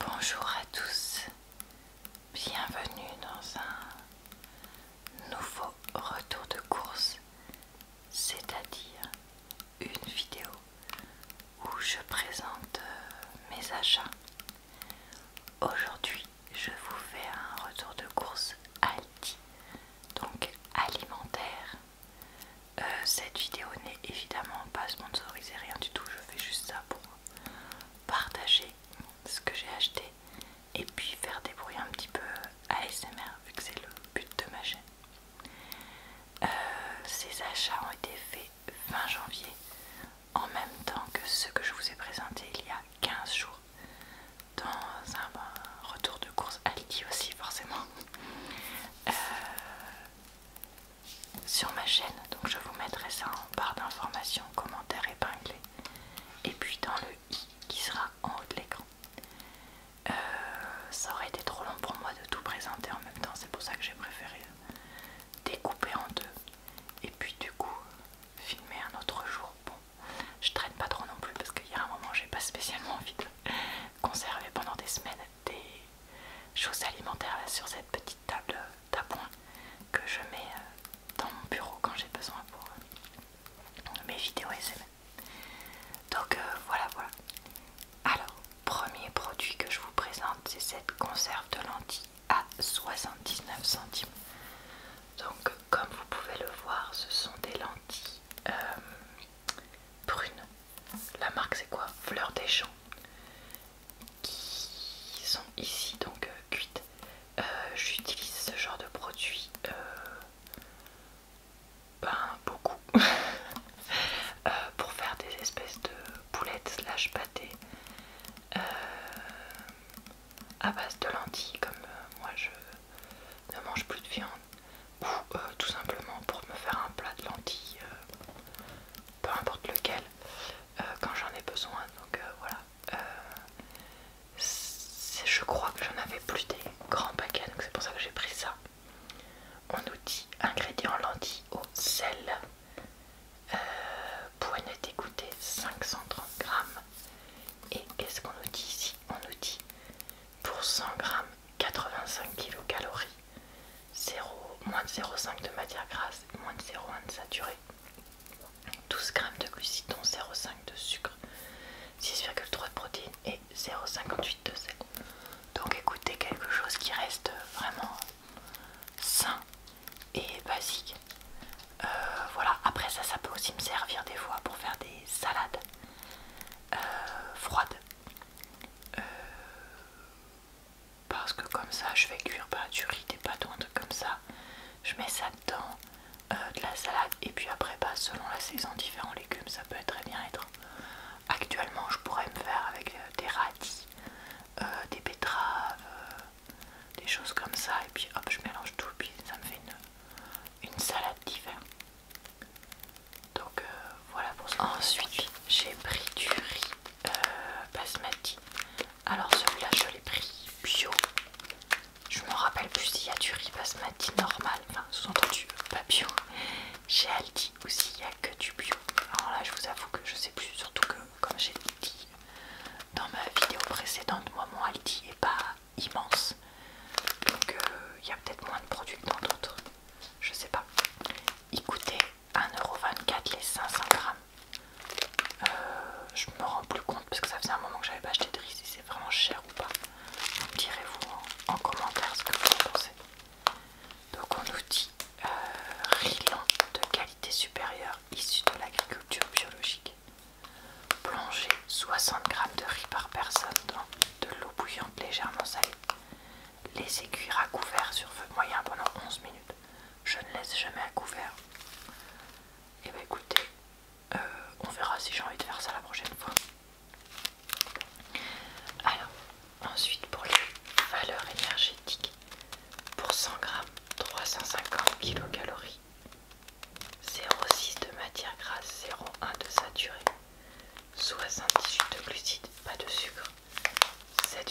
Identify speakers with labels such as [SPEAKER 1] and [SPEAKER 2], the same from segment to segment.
[SPEAKER 1] Bonjour à tous, bienvenue dans un nouveau retour de course, c'est-à-dire une vidéo où je présente euh, mes achats. Aujourd'hui, je vous fais un retour de course Aldi, donc alimentaire. Euh, cette vidéo n'est évidemment pas sponsorisée, rien du tout, je fais juste ça pour partager ce que j'ai acheté et puis faire des bruits un petit peu ASMR vu que c'est le but de ma chaîne. Euh, ces achats ont été faits fin janvier en même temps que ceux que je vous ai présentés il y a 15 jours dans un retour de course Aldi aussi forcément. Euh, sur ma chaîne. Donc je vous mettrai ça en barre d'informations, commentaires épinglés. Et puis dans le i qui sera en haut de l'écran. Euh, ça aurait été trop long pour moi de tout présenter en même temps. C'est pour ça que j'ai préféré découper en deux. Et puis du coup, filmer un autre jour. Bon, je traîne pas trop non plus parce qu'il y a un moment j'ai pas spécialement envie de conserver pendant des semaines des choses alimentaires sur cette petite table d'appoint que je mets euh, dans mon bureau quand j'ai besoin pour euh, mes vidéos SMS. Donc euh, voilà, voilà. Alors, premier produit que je vous présente, c'est cette conserve de lentilles à 79 centimes. Donc, comme vous pouvez le voir, ce sont des lentilles brunes. La marque, c'est quoi Fleur des champs qui sont ici donc euh, cuites. Euh, j'utilise ce genre de produit euh, ben, beaucoup pour faire des espèces de boulettes slash pâtés à base de lentilles comme moi je ne mange plus de viande ou tout simplement pour me faire un plat de lentilles, peu importe lequel, euh, quand j'en ai besoin. Donc euh, voilà. Euh, je crois que j'en avais plus des grands paquets, donc c'est pour ça que j'ai pris ça. On nous dit ingrédients lentilles au sel. poignée 530 grammes. Et qu'est-ce qu'on nous dit ici On nous dit pour 100 grammes 85 kcal 0, moins de 0,5 de matière grasse, moins de 0,1 de saturé, 12 g de glucides 0,5 de sucre, 6,3 de protéines et 0,58 de sel. Donc écoutez, quelque chose qui reste vraiment sain et basique. Euh, voilà, après ça, ça peut aussi me servir des fois pour faire des salades euh, froides. Euh, parce que comme ça je fais cuire pas du riz, des pâtes un truc comme ça. Je mets ça dedans, euh, de la salade et puis après pas bah, selon la saison différents légumes ça peut très bien être. Actuellement je pourrais me faire avec euh, des radis, euh, des betteraves, des choses comme ça et puis hop je mélange tout et puis ça me fait une, salade d'hiver. Donc voilà pour ça. Ensuite j'ai pris du riz euh, bah, Alors celui-là je l'ai pris bio. Je me rappelle plus s'il y a du riz basmati normal, enfin sous-entendu pas bio. Chez Aldi ou s'il n'y a que du bio. Alors là je vous avoue que je sais plus, surtout que comme j'ai dit dans ma vidéo précédente, moi mon Aldi est pas immense. Donc euh, il y a peut-être moins de produits que dans d'autres. Je sais pas. Écoutez. 1,24€ les 500 grammes. Euh, je me rends plus compte parce que ça faisait un moment que j'avais pas acheté de riz si c'est vraiment cher ou pas. direz-vous en, commentaire ce que vous en pensez. Donc on nous dit euh, riz lent de qualité supérieure issu de l'agriculture biologique. Plongez 60 grammes de riz par personne dans de l'eau bouillante légèrement salée. Laissez cuire à couvert sur feu moyen pendant 11 minutes. Je ne laisse jamais à couvert. Et eh bah ben, écoutez, euh, on verra si j'ai envie de faire ça la prochaine fois. Alors, ensuite pour les valeurs énergétiques, pour 100 g 350 kcal. 0,6 de matière grasse, 0,1 de saturé, 78 de glucides, pas de sucre, 7,4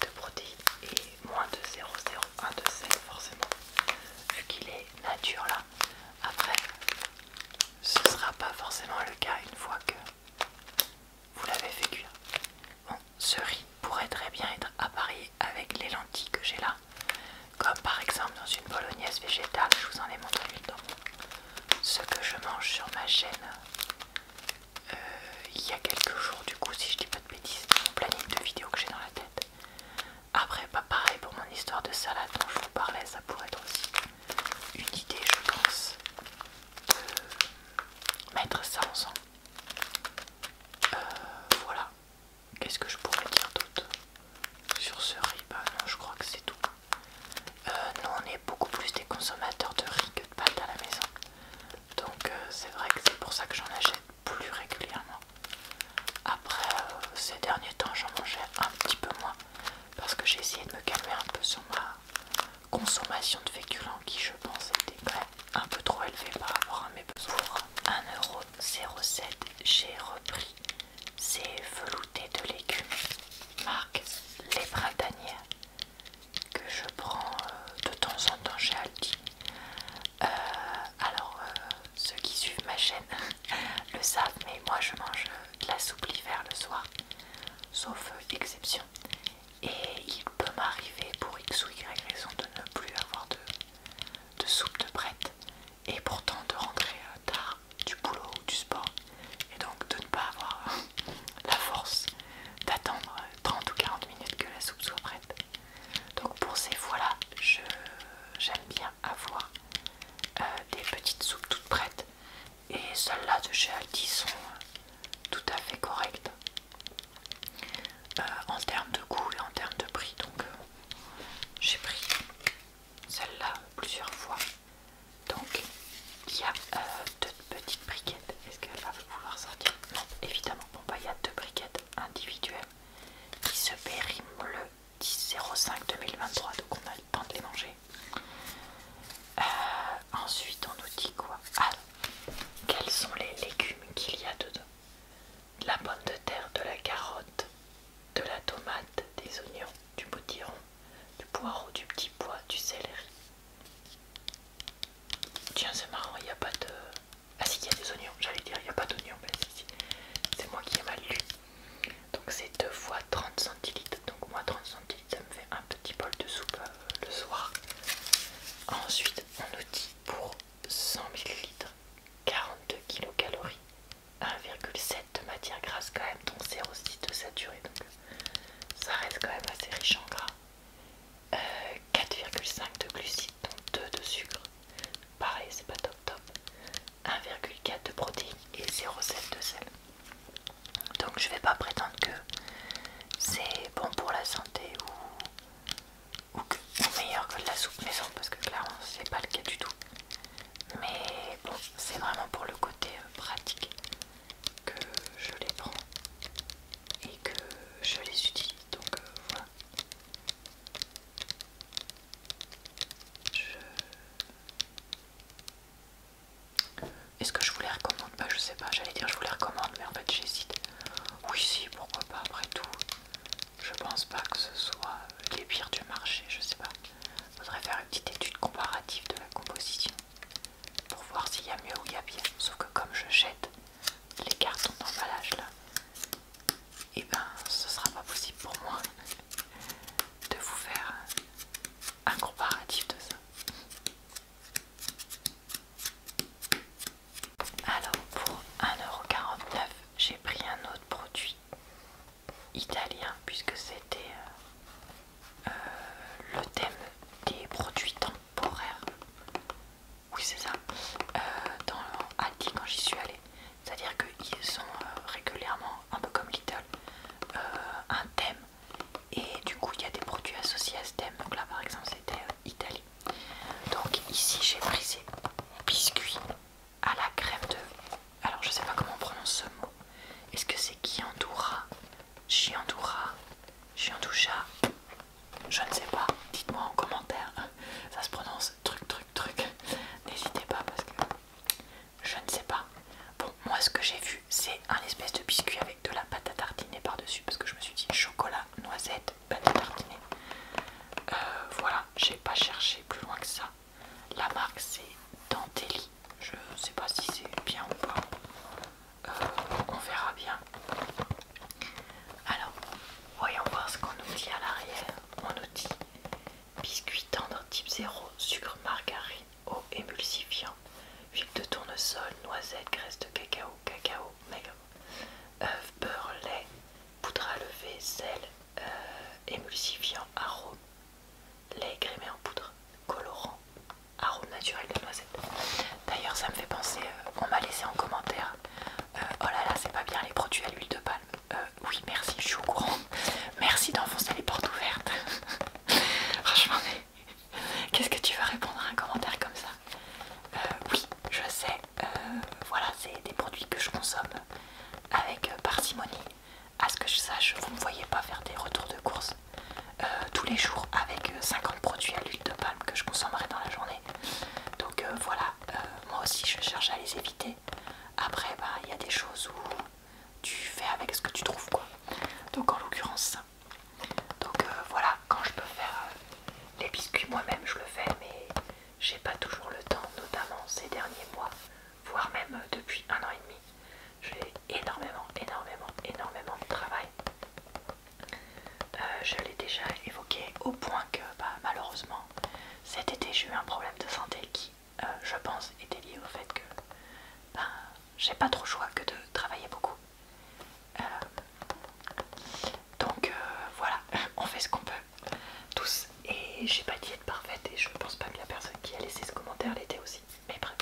[SPEAKER 1] de protéines et moins de 0,01 de sel forcément vu qu'il est nature là après ce sera pas forcément le cas une fois que vous l'avez fait cuire bon ce riz pourrait très bien être appareillé avec les lentilles que j'ai là comme par exemple dans une bolognaise végétale je vous en ai montré une dans ce que je mange sur ma chaîne euh, il y a quelques jours du coup si je dis pas de bêtises une planning de vidéo que j'ai dans la tête après pas bah, pareil pour mon histoire de salade dont je vous parlais ça pourrait être aussi une idée je pense de mettre ça ensemble euh, voilà qu'est-ce que je pourrais dire d'autre sur ce riz bah, non je crois que c'est tout euh, nous on est beaucoup plus des consommateurs de riz que de pâte à la maison donc euh, c'est vrai que c'est pour ça que j'en achète plus régulièrement. Après euh, ces derniers temps j'en mangeais un petit peu moins parce que j'ai essayé de me calmer un peu sur ma consommation de féculents qui je pense était un peu trop élevée par rapport à mes besoins. 1,07€ j'ai repris ces veloutés de légumes marque Les Printanières que je prends euh, de temps en temps chez Aldi. Euh, alors, euh, ceux qui suivent ma chaîne le savent, mais moi je mange de la soupe l'hiver le soir, sauf exception. Et il peut m'arriver pour x ou y raison de ne plus avoir de, soupe de prête et pourtant de rentrer tard du boulot ou du sport et donc de ne pas avoir la force d'attendre 30 ou 40 minutes que la soupe soit prête. Donc pour ces fois-là, j'aime bien avoir euh, des petites soupes toutes prêtes. Et celles-là de chez Aldi sont tout à fait correctes euh, en termes de goût et en termes de prix. Donc euh, j'ai pris celle-là plusieurs fois. Donc il y a deux petite briquette, est-ce qu'elle va vouloir sortir Non, évidemment. Bon, bah, il y a deux briquettes individuelles qui se périment le 10 2023 donc on a le temps de les manger. Euh, ensuite, on nous dit quoi ah, quels sont les légumes qu'il y a dedans de la pomme de terre, de la carotte, de la tomate, des oignons, du potiron, du poireau, du petit pois, du céleri. Tiens, c'est marrant, il n'y a pas de. Ah, si, il y a des oignons, j'allais dire, il n'y a pas d'oignons, mais si, c'est moi qui ai mal lu. Donc, c'est 2 fois 30 centilitres. Donc, moi, 30 centilitres, ça me fait un petit bol de soupe euh, le soir. Ensuite, on nous dit pour 100 ml 42 kilocalories, 1,7 de matière grasse, quand même, donc aussi de saturé. Donc, ça reste quand même assez riche en gras. 4,5 de glucides donc 2 de sucre pareil c'est pas top top 1,4 de protéines et 0,7 de sel donc je vais pas prétendre que c'est bon pour la santé ou, meilleur que de la soupe maison parce que clairement c'est pas le cas du tout mais bon c'est vraiment pour le côté euh, pratique que je les prends et que je les utilise donc euh, voilà est-ce que je vous les recommande bah je sais pas j'allais dire je vous les recommande mais en fait j'hésite oui si pourquoi pas après tout je pense pas que ce soit les pires du marché je sais pas faudrait faire une petite étude comparative de la composition pour voir s'il y a mieux ou il y a bien. Sauf que comme je jette les cartons d'emballage là, et eh ben ce sera pas possible pour moi de vous faire un comparatif de ça. Alors pour 1,49€, j'ai pris un autre produit italien puisque c'était euh, euh, le thème des produits temps temporaire, oui c'est ça, euh, dans Aldi quand j'y suis allée. C'est-à-dire qu'ils ont euh, régulièrement, un peu comme Lidl, euh, un thème et du coup il y a des produits associés à ce thème. Donc là par exemple c'était Italie. Donc ici j'ai brisé biscuit à la crème de... Alors je sais pas comment on prononce ce mot. Est-ce que c'est qui entoura Chiandoura, Chiandoucha, je ne sais pas, dites-moi en commentaire, ça se prononce truc truc truc, n'hésitez pas parce que je ne sais pas. Bon, moi ce que j'ai vu c'est un espèce de biscuit avec de la pâte à tartiner par-dessus parce que je me suis dit chocolat, noisette, pâte à tartiner. Euh, voilà, j'ai pas cherché plus loin que ça. La marque c'est Dantelli, je sais pas si c'est bien ou pas. Euh, on verra bien. Alors, voyons voir ce qu'on nous dit à l'arrière. On nous dit biscuit tendre type 0, sucre, margarine, eau émulsifiant, huile de tournesol, noisette, graisse de cacao, cacao, maigre, œufs, beurre, lait, poudre à lever, sel, euh, émulsifiant, arôme, lait grimé en poudre, colorant, arôme naturel de noisette. D'ailleurs, ça me fait penser, euh, on m'a laissé en commentaire euh, Oh là là, c'est pas bien les produits à l'huile de palme. Euh, oui, merci, je suis au courant. Merci d'enfoncer les portes ouvertes. Franchement, qu'est-ce que tu vas répondre à un commentaire comme ça Oui, je sais, voilà, c'est des produits que je consomme avec parcimonie. À ce que je sache, vous ne me voyez pas faire des retours de course euh, tous les jours avec 50 euh, produits à l'huile de palme que je consommerai dans la journée. Donc euh, voilà, moi aussi je cherche à les éviter. Après, bah, il y a des choses où tu fais avec ce que tu trouves quoi. Donc en l'occurrence, donc voilà, quand je peux faire les biscuits moi-même, je le fais, mais j'ai pas toujours le temps, notamment ces derniers mois, voire même depuis un an et demi. J'ai énormément, énormément, énormément de travail euh, je l'ai déjà évoqué au point que bah, malheureusement cet été j'ai eu un problème de santé qui euh, je pense était lié au fait que bah, j'ai pas trop le choix que de travailler beaucoup. Euh, donc voilà, on fait ce qu'on peut tous et j'ai pas de être parfaite et je pense pas que la personne qui a laissé ce commentaire l'était aussi. Mais bref.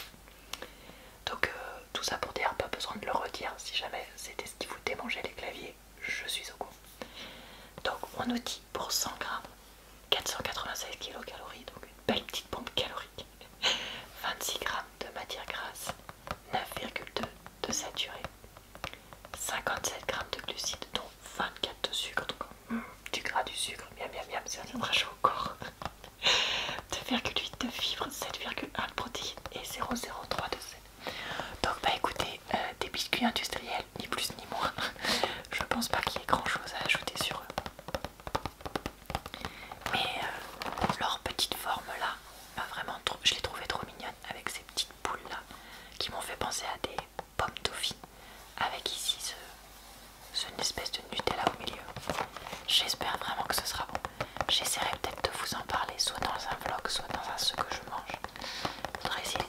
[SPEAKER 1] Donc euh, tout ça pour dire, pas besoin de le redire, si jamais c'était ce qui vous démangeait les claviers, je suis au courant. Donc on nous dit pour 100 g, 496 kcal donc une belle petite pompe calorique, 26 g de matière grasse, 9,2 de saturé, 57 grammes de glucides, dont 24 de sucre, mm, du gras, du sucre, miam miam miam, ça viendra chaud au corps. 2,8 de fibre 7,1 de protéines et 0,03 de sel. Donc bah écoutez, euh, des biscuits industriels, ni plus ni moins. Je pense pas qu'il y ait grand chose à ajouter sur eux. Mais euh, leur petite forme là, vraiment, je l'ai trouvais trop mignonne avec ces petites boules là qui m'ont fait penser à des pommes toffies avec ici ce, ce une espèce de Nutella au milieu. J'espère vraiment que ce sera bon j'essaierai peut-être de vous en parler soit dans un vlog, soit dans un ce que je mange.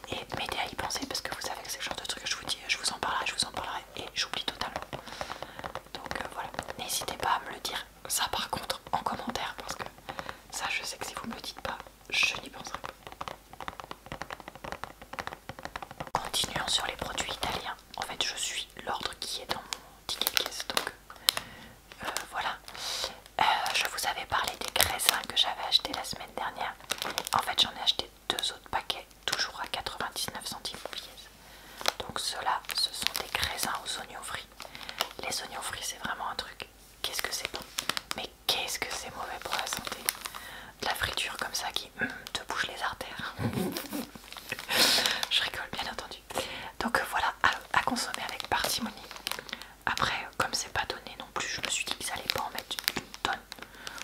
[SPEAKER 1] et m'aider à y penser parce que vous savez que c'est le genre de truc que je vous dis, je vous en parlerai, je vous en parlerai et j'oublie totalement. Donc euh, voilà, n'hésitez pas à me le dire ça par contre en commentaire parce que ça je sais que si vous me le dites pas, je n'y penserai pas. Continuons sur les produits italiens. En fait, je suis l'ordre qui est dans mon donc euh, voilà. Euh, je vous avais parlé des graisins que j'avais acheté la semaine dernière. En fait, j'en ai acheté deux autres paquets, toujours à 99 centimes pièce. Donc ceux-là, ce sont des graisins aux oignons frits. Les oignons frits, c'est vraiment un truc. Qu'est-ce que c'est bon Mais qu'est-ce que c'est mauvais pour la santé La friture comme ça qui hum, te bouge les artères. je rigole, bien entendu. Donc euh, voilà, à, à consommer avec parcimonie. Après, comme c'est pas donné non plus, je me suis dit qu'ils allaient pas en mettre une tonne.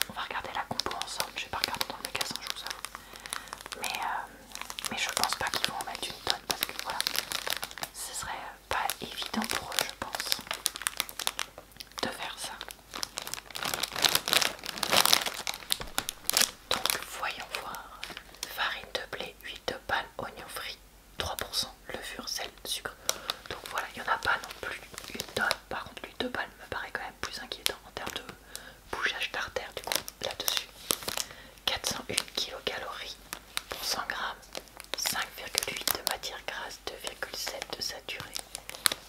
[SPEAKER 1] On va regarder la compo ensemble. Je vais pas regarder dans le magasin, je vous Mais, euh, mais je pense pas qu'ils vont en mettre une tonne parce que voilà, ce serait pas évident pour eux, je pense, de faire ça. Donc voyons voir. Farine de blé, 8 huile oignon frit, 3%, levure, sel, sucre. Donc voilà, il n'y en a pas non plus une tonne. Par contre, l'huile de me paraît quand même plus inquiétant en termes de bouchage d'artère, du coup, là-dessus. 401 kilocalories pour 100 grammes, 5,8 de matière grasse, 2,7 de saturé,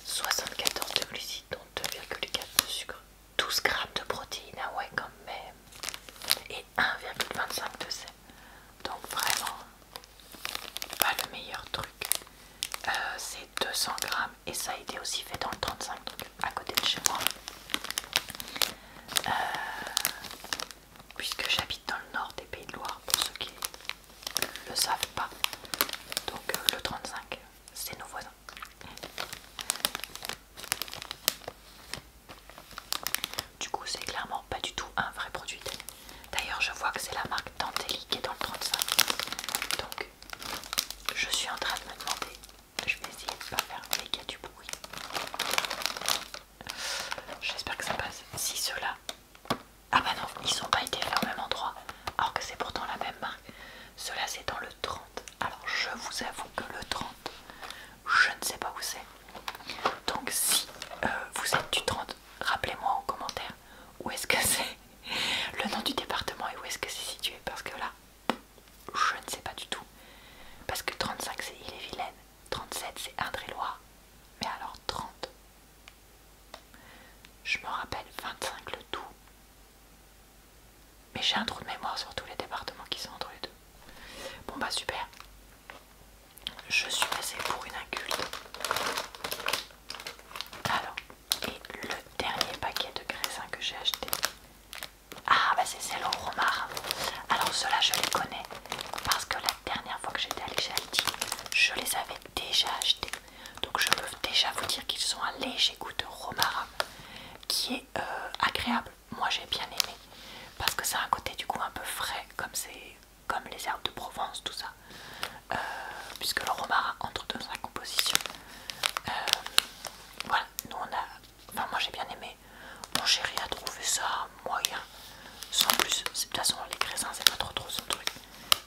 [SPEAKER 1] 74 de glucides, donc 2,4 de sucre. 12 grammes de protéines, ah ouais quand même, et 1,25 de sel. Donc vraiment, pas le meilleur truc. Euh, c'est 200 grammes et ça a été aussi fait dans le 35, donc à côté de chez moi. Euh, puisque j'habite dans le nord des Pays de Loire, pour ceux qui ne le savent pas. Donc euh, le 35, c'est nos voisins. Du coup, c'est clairement pas du tout un vrai produit D'ailleurs, je vois que c'est la marque Tantelli qui est dans le 35. Donc, je suis en train de me demander, je vais essayer de ne pas faire les du bruit. J'espère que ça passe. Si ceux-là. Ah bah non, ils sont pas été à au même endroit, alors que c'est pourtant la même marque. Cela, c'est dans le 30. Alors je vous avoue que le 30, je ne sais pas où c'est. Donc si euh, vous êtes du 30, rappelez-moi en commentaire où est-ce que c'est, le nom du département et où est-ce que c'est situé. Parce que là, je ne sais pas du tout. Parce que 35 c'est Ille-et-Vilaine, 37 c'est Indre-et-Loire. Mais alors 30, je me rappelle 25 le tout. Mais j'ai un trou de mémoire sur tous les départements qui sont entre les deux. Bon bah super. Je suis passée pour une inculte. Alors, et le dernier paquet de graissins que j'ai acheté. Ah bah c'est celle au romarin. Alors ceux-là je les connais parce que la dernière fois que j'étais allée chez je les avais déjà achetés. Donc je peux déjà vous dire qu'ils sont un léger goût de romarin qui est euh, agréable moi j'ai bien aimé parce que ça a un côté du coup un peu frais comme c'est comme les herbes de Provence tout ça euh, puisque le romarin entre dans sa composition euh, voilà nous on a enfin moi j'ai bien aimé mon chéri a trouvé ça moyen sans plus de toute façon les crécins c'est pas trop trop ce truc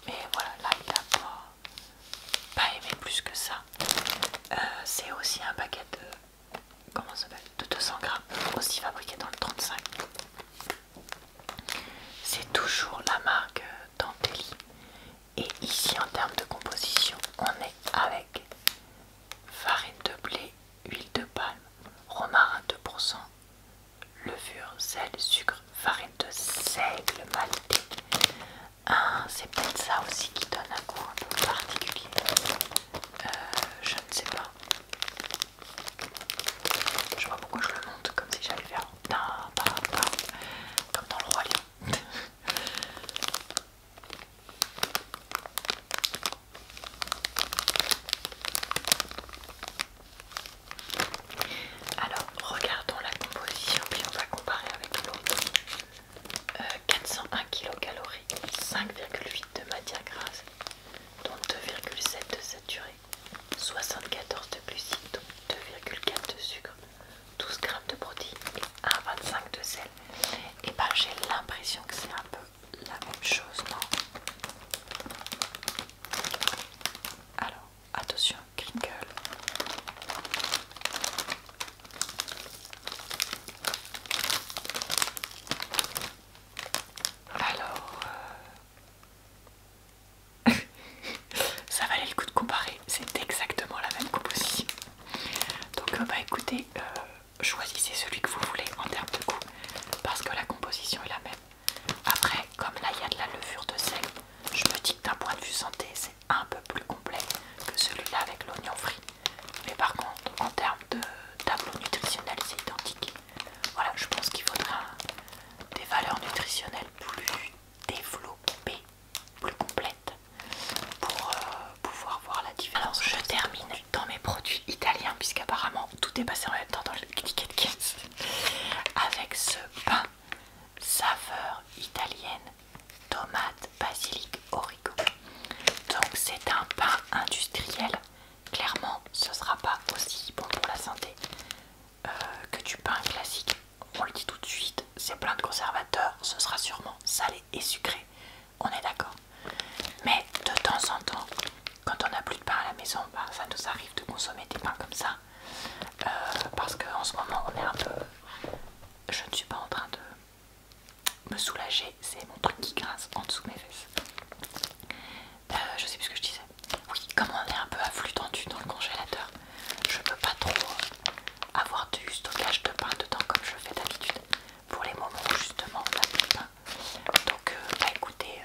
[SPEAKER 1] mais voilà là il a pas, aimé plus que ça euh, c'est aussi un paquet de comment s'appelle de 200 grammes aussi fabriqué dans le 35 c'est toujours la marque euh, d'Antelli et ici en termes de composition on est avec farine de blé huile de palme romarin 2% levure sel sucre farine de seigle maltée c'est peut-être ça aussi qui donne un goût un peu particulier. Euh, je ne sais pas. Je vois pourquoi je le monte comme si j'allais faire comme dans le roi lion. Alors regardons la composition puis on va comparer avec l'autre. 401 kcal, 5,8 de matière grasse, dont 2,7 de saturé, 74 de glucides, 2,4 de sucre, 12 g de protéines et 1,25 de sel. Et eh ben j'ai l'impression que c'est un peu la même chose, non Alors, attention, alors, euh, ça valait le coup de comparer, c'est exactement la même composition. Donc, euh, bah écoutez, euh, choisissez celui que vous voulez en termes de goût, parce que la composition est la même. Après, comme là il y a de la levure de sel, je me dis que d'un point de vue santé, c'est un peu plus complet que celui-là avec l'oignon frit. Mais par contre, en termes de tableau nutritionnel, c'est identique. Voilà, je pense qu'il faudra des valeurs nutritionnelles plus développées, plus complètes, pour euh, pouvoir voir la différence. je termine dans mes produits italiens, puisqu'apparemment tout est passé en même temps dans le ticket de kit. avec ce pain saveur italienne tomate, basilic, origo. Donc c'est un pain industriel. Clairement, ce sera pas aussi bon pour la santé euh, que du pain classique. On le dit tout de suite, c'est plein de conservateurs, ce sera sûrement salé et sucré. On est d'accord. Mais de temps en temps, quand on n'a plus de pain à la maison, bah, ça nous arrive de consommer des pains comme ça. Euh, parce qu'en ce moment, on est un peu... Je ne suis pas en train de me soulager, c'est mon truc qui grince en dessous mes fesses. Euh, je sais plus ce que je disais. Oui, comme on est un peu à flux tendu dans le congélateur, je peux pas trop avoir du stockage de pain dedans comme je fais d'habitude pour les moments où justement on a de pain. Donc, euh, bah écoutez,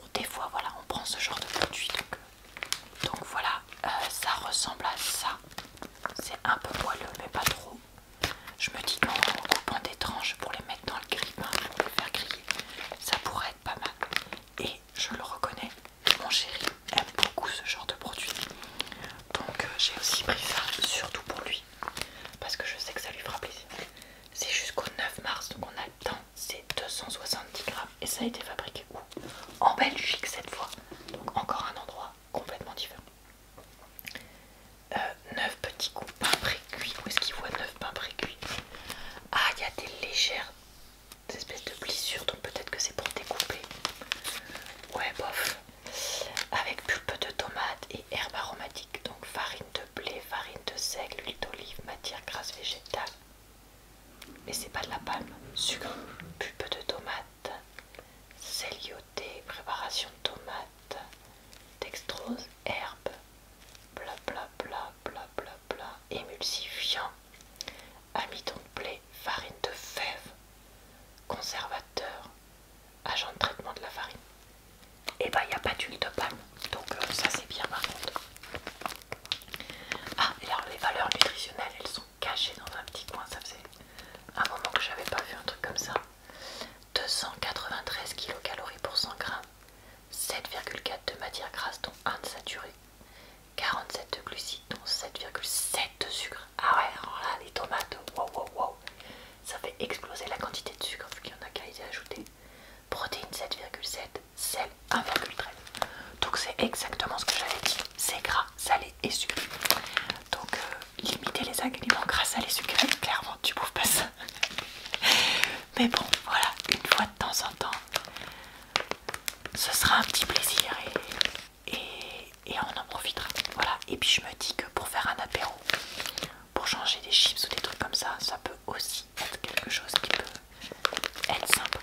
[SPEAKER 1] euh, des fois voilà, on prend ce genre de produit. Donc, voilà, ça ressemble à ça. C'est un peu moelleux, mais pas trop. Je me dis qu'en coupant des tranches pour les mettre dans le grille pour les faire griller, ça pourrait être pas mal. Et je le reconnais, mon chéri aime beaucoup ce genre de produit. Donc euh, j'ai aussi pris ça, surtout pour lui, parce que je sais que ça lui fera plaisir. C'est jusqu'au 9 mars, donc on a le temps. C'est 270 grammes et ça a été fabriqué où En Belgique cette fois. Donc encore un endroit complètement différent. 9 euh, petits coups pain pré-cuit Où est-ce qu'il voit 9 pains pré-cuit Ah, il y a des légères espèces de blessures, donc peut-être que c'est pour découper. Ouais, bof. Avec pulpe de tomate et herbes aromatiques donc farine de blé, farine de seigle, huile d'olive, matière grasse végétale. Mais c'est pas de la palme, sucre, pulpe de tomate, céliot des préparations de tomates, dextrose, herbes, bla bla émulsifiant, amidon de blé, farine de fèves, conservateur, agent de traitement de la farine. Et bah ben, il n'y a pas d'huile de palme, donc euh, ça c'est bien par Ah, et alors les valeurs nutritionnelles elles sont Caché dans un petit coin. Ça faisait un moment que j'avais pas vu un truc comme ça. 293 kcal pour 100 g, 7,4 de matière grasse dont 1 de saturé, 47 de glucides dont 7,7 de sucre. Ah ouais, alors là les tomates, wow wow wow, ça fait exploser la quantité de sucre vu qu'il y en a qu'à y ajouter. Protéines 7,7, sel 1,13. Donc c'est exactement ce que j'avais dit, c'est gras, salé et sucré. Donc euh, limiter les agréments grâce à les sucreries, Clairement, tu bouffes pas ça. Mais bon, voilà, une fois de temps en temps, ce sera un petit plaisir et, on en profitera. Voilà, et puis je me dis que pour faire un apéro, pour changer des chips ou des trucs comme ça, ça peut aussi être quelque chose qui peut être sympa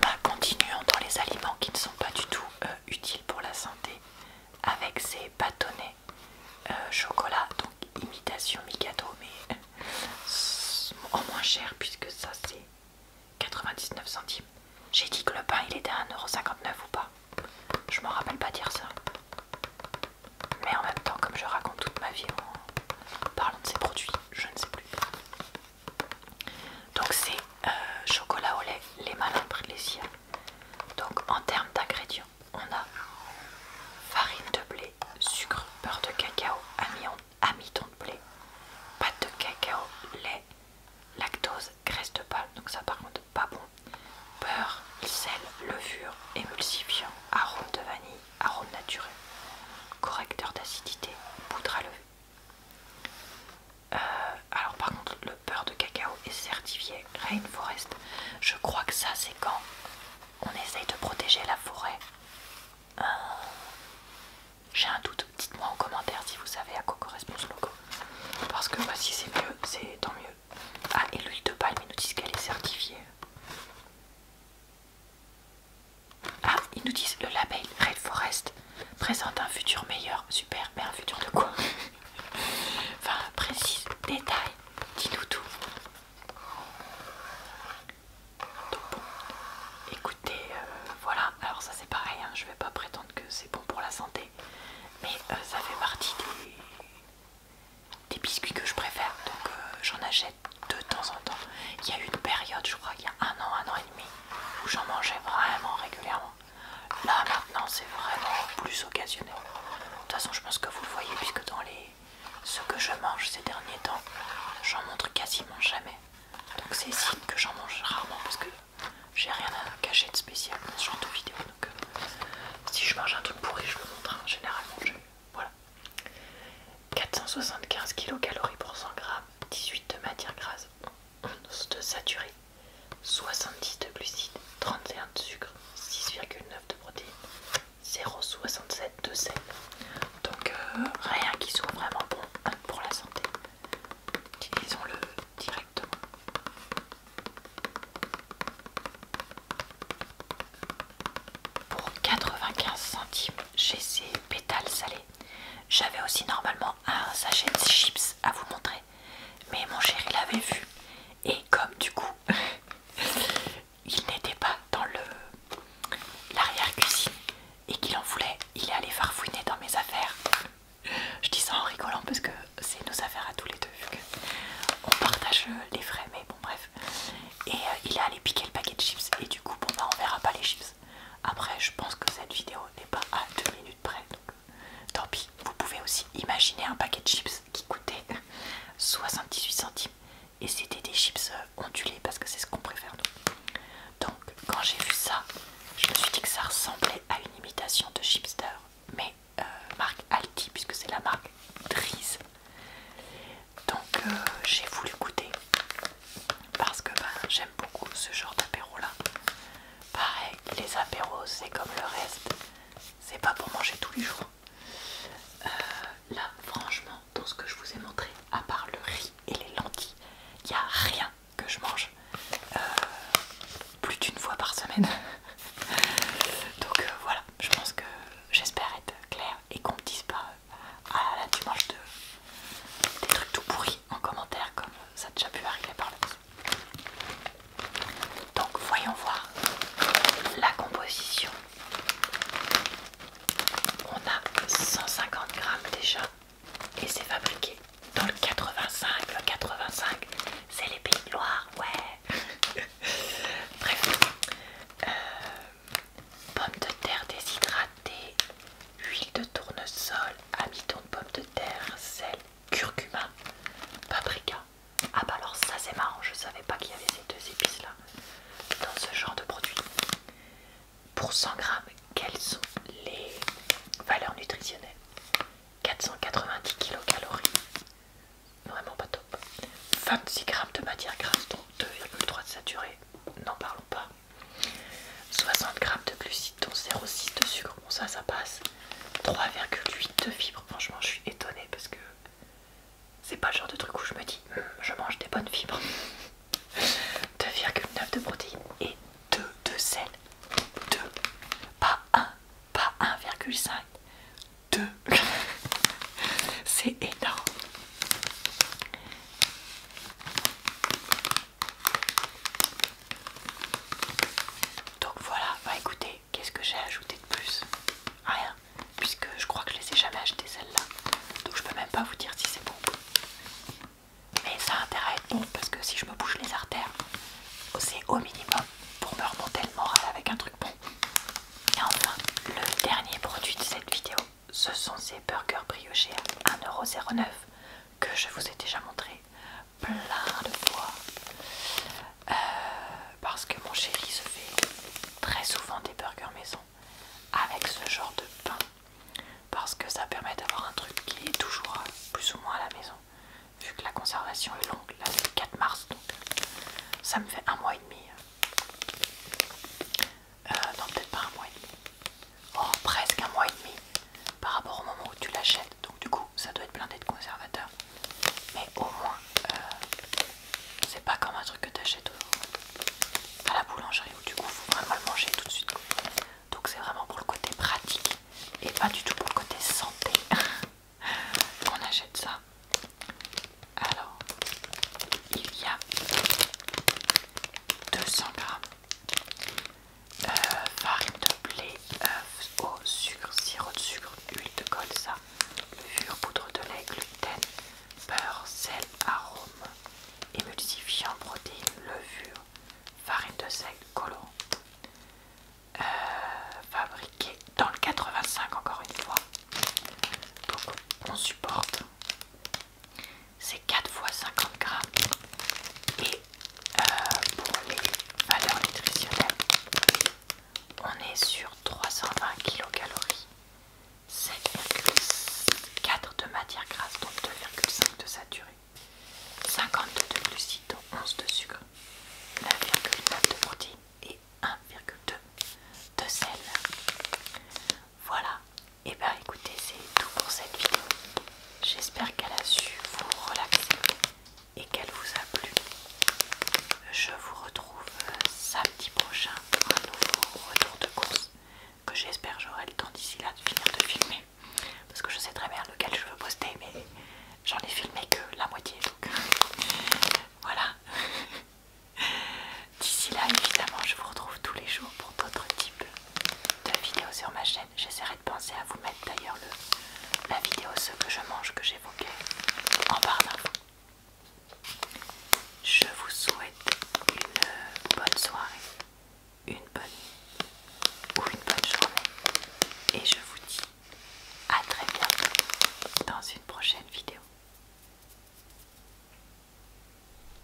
[SPEAKER 1] bah, euh, continuons dans les aliments qui ne sont pas du tout euh, utiles pour la santé avec ces bâtonnets euh, chocolat, donc imitation Mikado, mais en moins cher puisque ça c'est 99 centimes. J'ai dit que le pain il était à 1,59€ ou pas Je m'en rappelle pas dire ça. Mais en même temps, comme je raconte toute ma vie en parlant de ces produits, je ne sais plus. Donc c'est euh, chocolat au lait, les malambres, les siens. Donc en termes d'ingrédients, on a farine de blé, sucre, beurre de cacao, amidon, amidon de blé, pâte de cacao, lait, lactose, graisse de palme, donc ça par contre pas bon, beurre, sel, levure, émulsifiant, arôme de vanille, arôme naturel, correcteur d'acidité, poudre à levure. Euh, alors par contre le beurre de cacao est certifié Rainforest. Je crois que ça c'est quand on essaye de protéger la forêt. Euh, j'ai un doute, dites-moi en commentaire si vous savez à quoi correspond ce logo. Parce que voici si c'est mieux, c'est tant mieux. Ah et l'huile de palme, ils nous disent qu'elle est certifiée. Ah, ils nous disent le label Red Forest présente un futur meilleur. Super, mais un futur de quoi Enfin, précis, détail, dis-nous tout. bon, écoutez, euh, voilà. Alors ça c'est pareil, hein, je vais pas prétendre que c'est bon pour la santé, mais euh, ça fait partie des, biscuits que je préfère, donc euh, j'en achète de temps en temps. Il y a eu une période, je crois, il y a un an, un an et demi, où j'en mangeais vraiment régulièrement. Là maintenant, c'est vraiment plus occasionnel. De toute façon, je pense que vous le voyez, puisque dans les ce que je mange ces derniers temps, j'en montre quasiment jamais. Donc c'est signe que j'en mange rarement parce que j'ai rien à cacher de spécial dans ce genre de vidéo. Donc euh, si je mange un truc pourri, je le montre hein, généralement. Je... Voilà. 475 kcal pour 100 g, 18 de matière grasse, 11 de saturé, 70 de glucides, 31 de sucre, 6,9 de protéines, 0,67 de sel. Donc euh, rien qui soit vraiment bon hein, pour la santé. Utilisons-le directement. Pour 95 centimes, j'ai ces pétales salés j'avais aussi normalement un sachet de chips à vous montrer, mais mon chéri l'avait vu et comme du coup il n'était pas dans le l'arrière cuisine et qu'il en voulait, il est allé farfouiner dans mes affaires. Je dis ça en rigolant parce que c'est nos affaires à tous les deux vu qu'on partage les frais, mais bon bref. Et euh, il est allé piquer le paquet de chips et du coup bon bah, on verra pas les chips. Après, je pense que cette vidéo n'est pas à 2 minutes près, donc euh, tant pis. Vous pouvez aussi imaginer un paquet de chips qui coûtait 78 centimes et c'était des chips euh, ondulés parce que c'est ce qu'on préfère Donc, quand j'ai vu ça, je me suis dit que ça ressemblait à une imitation de Chipster, mais euh, marque Alti puisque c'est la marque Dries. Donc, j'ai voulu goûter parce que ben, j'aime beaucoup ce genre d'apéro là. Pareil, les apéros c'est comme le reste, c'est pas pour manger tous les jours. Euh, là, franchement, dans ce que je vous ai montré, à part le riz et les lentilles, il n'y a rien que je mange euh, plus d'une fois par semaine. Donc euh, voilà, je pense que j'espère être claire et qu'on me dise pas ah là, tu manges des trucs tout pourris en commentaire comme ça a déjà pu arriver par le donc voyons voir la composition on a 150 grammes déjà et c'est fabriqué dans le 85 le 85 c'est les pays de Loire ouais bref euh, pommes de terre déshydratées, huile de tournesol, amidon de pommes de terre, sel, curcuma, paprika. Ah bah alors ça c'est marrant, je savais pas qu'il y avait ces deux épices là dans ce genre de produit. Pour 100 grammes, quelles sont les valeurs nutritionnelles 490 kcal, vraiment pas top. 26 grammes de matière grasse, donc 2,3 saturés n'en parlons pas. 60 g de glucides dont 0,6 de sucre, bon ça ça passe. 3,8 de fibres, franchement je suis étonnée parce que c'est pas le genre de truc où je me dis hmm, je mange des bonnes fibres. 2,9 de protéines et 2 de sel. 2, pas 1, pas 1,5, 2. c'est énorme. Donc voilà, bah écoutez, qu'est-ce que j'ai ajouté de plus Rien, puisque je crois que je les ai jamais achetées celles-là. Donc je peux même pas vous dire si c'est bon. Mais ça a intérêt à être bon parce que si je me bouge les artères, c'est au minimum pour me remonter le moral avec un truc bon. Et enfin, le dernier produit de cette vidéo, ce sont ces burgers briochés à 1,09€ que je vous ai déjà montré plein de fois euh, parce que mon chéri se fait très souvent des burgers maison avec ce genre de pain parce que ça permet d'avoir un truc qui est toujours plus ou moins à la maison vu que la conservation est longue là c'est le 4 mars donc ça me fait un mois et demi euh, non, peut-être pas un mois et demi. Oh, presque un mois et demi par rapport au moment où tu l'achètes. Donc, du coup, ça doit être blindé de conservateur. Mais au moins, euh, c'est pas comme un truc que tu achètes à la boulangerie où du coup, faut vraiment le manger tout de suite. Donc, c'est vraiment pour le côté pratique et pas du tout pour le côté santé qu'on achète ça. Alors, il y a 200 grammes euh, farine de blé, œufs, eau, sucre, sirop de sucre, huile de colza, levure, poudre de lait, gluten, beurre, sel, arôme, émulsifiant, protéines, levure, farine de sel, colorant. Euh, fabriqué dans le 85 encore une fois. Donc on supporte c'est 4 fois 50 grammes et euh, pour les valeurs nutritionnelles on est sur 320 kcal 7,4 de matière grasse donc 2,5 de saturé 52 de glucides 11 de sucre 9,9 de protéines et 1,2 de sel voilà et eh bah ben, écoutez, c'est tout pour cette vidéo. J'espère qu'elle a su vous relaxer et qu'elle vous a plu. Je vous retrouve euh, samedi prochain pour un nouveau retour de course que j'espère j'aurai le temps d'ici là de finir de filmer. Parce que je sais très bien lequel je veux poster, mais j'en ai filmé que la moitié. Donc voilà. D'ici là, évidemment, je vous retrouve tous les jours pour d'autres types de vidéos sur ma chaîne. J'essaierai de penser à vous mettre d'ailleurs la vidéo ce que je mange que j'évoquais en parlant. Je vous souhaite une bonne soirée, une bonne nuit ou une bonne journée et je vous dis à très bientôt dans une prochaine vidéo.